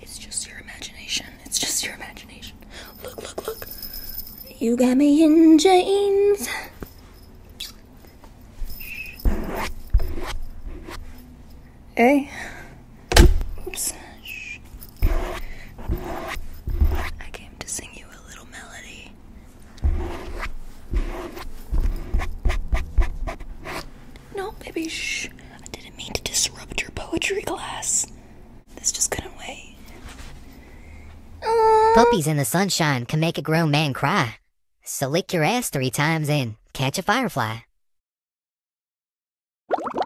It's just your imagination. It's just your imagination. Look, look, look. You got me in jeans. Hey. I came to sing you a little melody. No, baby, shh. I didn't mean to disrupt your poetry class. Puppies in the sunshine can make a grown man cry. So lick your ass three times and catch a firefly.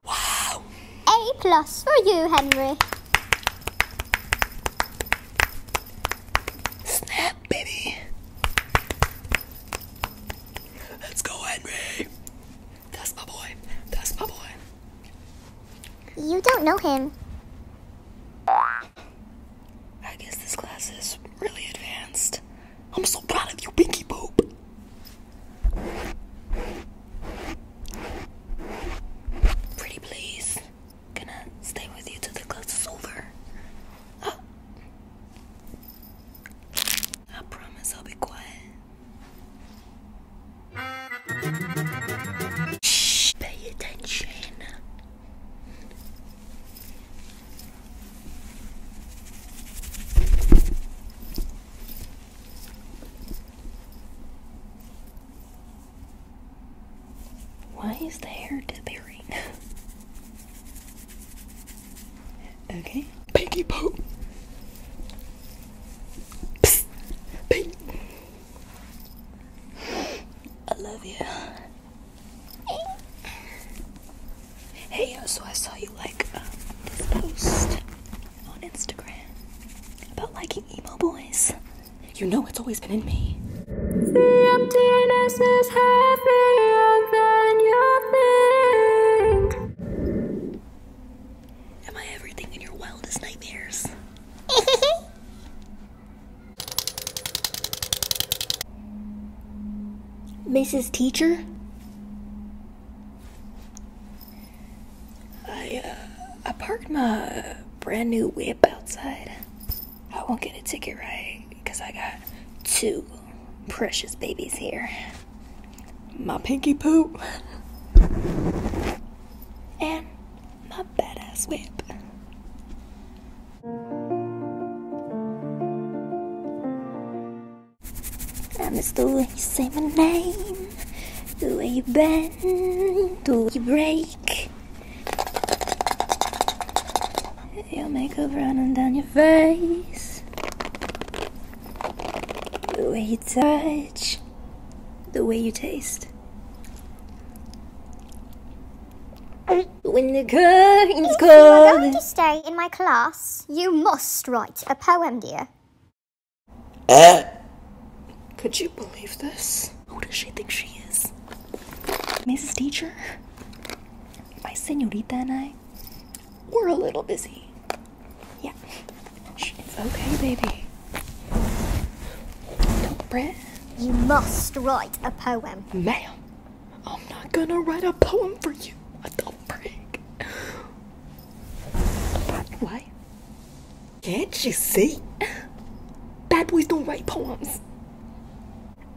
Wow. A plus for you, Henry. Snap, baby. Let's go, Henry. That's my boy. That's my boy. You don't know him. I guess this class is really advanced. I'm so proud of you, Pinky Poop. Pretty please. Gonna stay with you till the class is over. Ah. I promise I'll be quiet. Shh, pay attention. Why is the hair disappearing? okay. Pinky Pooh! Pink. I love you. Hey, so I saw you like um, this post on Instagram about liking emo boys. You know it's always been in me. Am I everything in your wildest nightmares? Mrs. Teacher? I, uh, I parked my brand new whip outside. I won't get a ticket, right? Because I got two precious babies here. My pinky poop. And my badass whip. I miss the way you say my name, the way you bend, the way you break. Your makeup running down your face, the way you touch the way you taste. When the curtains if to stay in my class, you must write a poem, dear. Eh? could you believe this? Who does she think she is? Mrs. Teacher? My senorita and I, we're a little busy. Yeah. It's okay, baby. Don't fret. You must write a poem. Ma'am, I'm not gonna write a poem for you. Don't freak. Why? Can't you see? Bad boys don't write poems.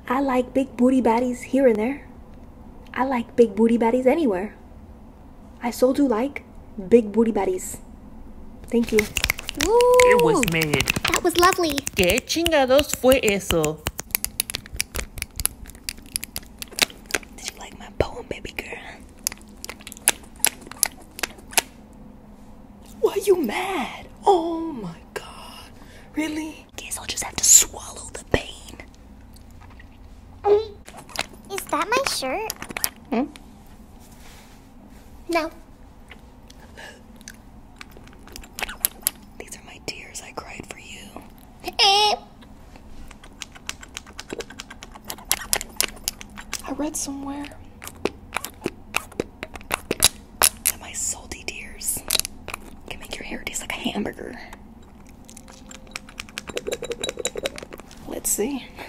I like big booty baddies here and there. I like big booty baddies anywhere. I so do like big booty baddies. Thank you. it was made. That was lovely. ¿Qué chingados fue eso? Did you like my poem, baby girl? Why are you mad? Oh my god. Really? Guess I'll just have to swallow the pain. Is that my shirt? Hmm? No. These are my tears I cried for you. Eh. I read somewhere that my salty tears can make your hair taste like a hamburger. Let's see.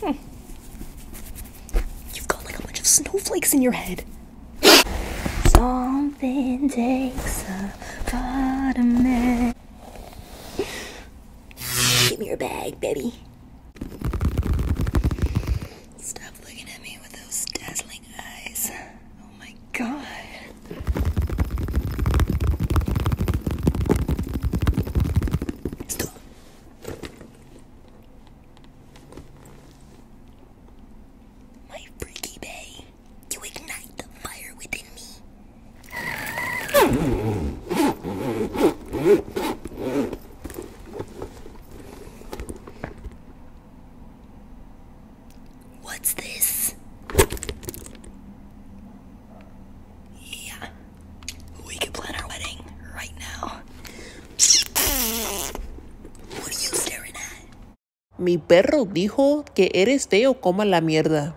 Hmm. You've got like a bunch of snowflakes in your head. Something takes a part Give me your bag, baby. Stop looking at me with those dazzling eyes. Oh my god. My freaky bay, you ignite the fire within me. What's this? Yeah. We could plan our wedding right now. What are you staring at? Mi perro dijo que eres feo como la mierda.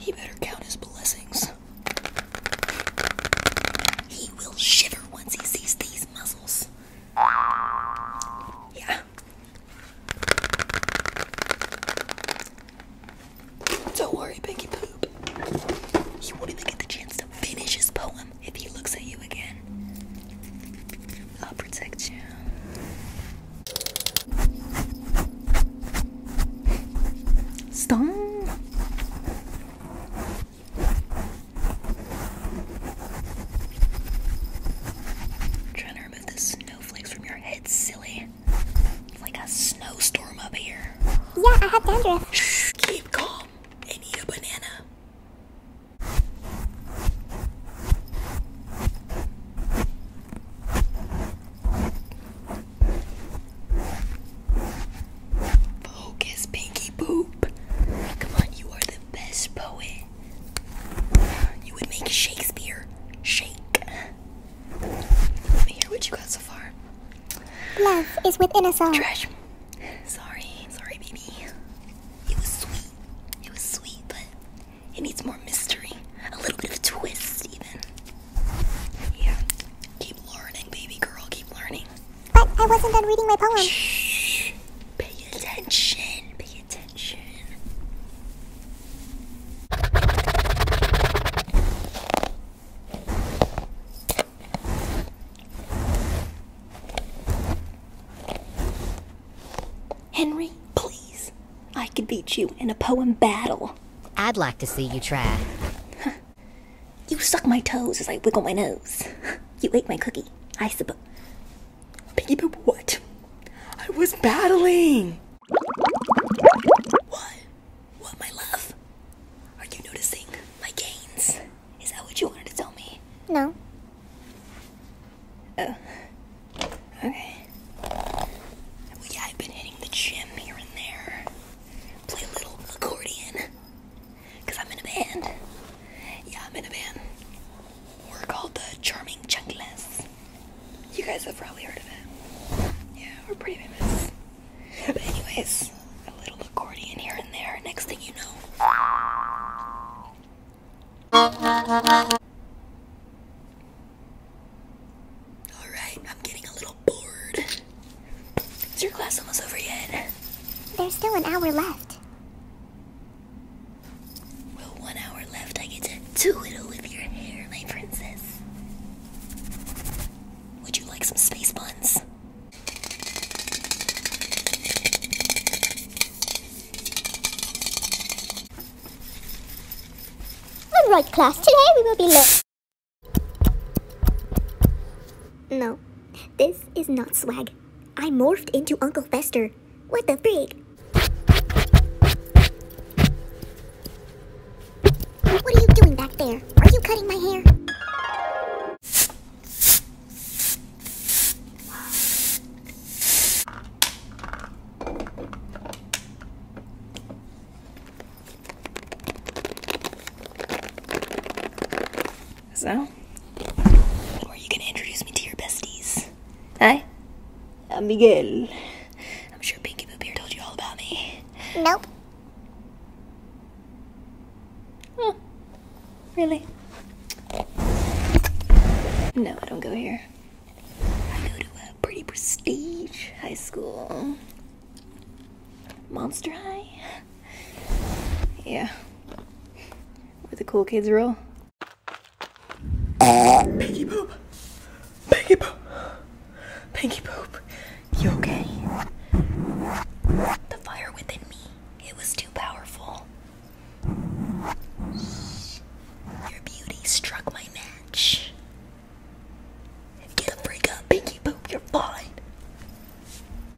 He better count his blessings. He will shiver once he sees these muscles. Yeah. Don't worry, Pinky Poop. He won't even get the chance to finish his poem if he looks at you again. I'll protect you. Stop trying to remove the snowflakes from your head, silly. It's like a snowstorm up here. Yeah, I have dandruff. Shh, keep calm and eat a banana. Focus, Pinky Poop. Come on, you are the best poet. You would make Shakespeare shake. Let me hear what you got so far. Love is within us all. Trash. Sorry, sorry, baby. It was sweet. It was sweet, but it needs more mystery. A little bit of twist, even. Yeah. Keep learning, baby girl. Keep learning. But I wasn't done reading my poem. Shh. Pay attention, pay attention. Henry, please. I could beat you in a poem battle. I'd like to see you try. You suck my toes as I wiggle my nose. You ate my cookie, I suppose. Piggy poop what? I was battling. What? What, my love? Are you noticing my gains? Is that what you wanted to tell me? No. Oh. Okay. yeah, I've been hitting the gym here and there. Play a little accordion. Because I'm in a band. Yeah, I'm in a band. We're called the Charming Chunkless. You guys have probably heard of it. Yeah, we're pretty famous. But anyways, a little accordion here and there. Next thing you know. Alright, I'm getting a little bored. Is your class almost over yet? There's still an hour left. Well, one hour left. I get to twiddle with your hair, my princess. Would you like some space buns? All right, class. Today we will be looking. No, this is not swag. I morphed into Uncle Fester. What the freak? What are you doing back there? Are you cutting my hair? So, are you gonna introduce me to your besties? Hi, I'm Miguel. I'm sure Pinky Boop here told you all about me. Nope. Oh, really? No, I don't go here. I go to a pretty prestige high school. Monster High yeah. Where the cool kids roll. Pinky poop. Pinky poop. Pinky poop. You okay? The fire within me. It was too powerful. Your beauty struck my match. Get the freak up, Pinky Poop. You're fine.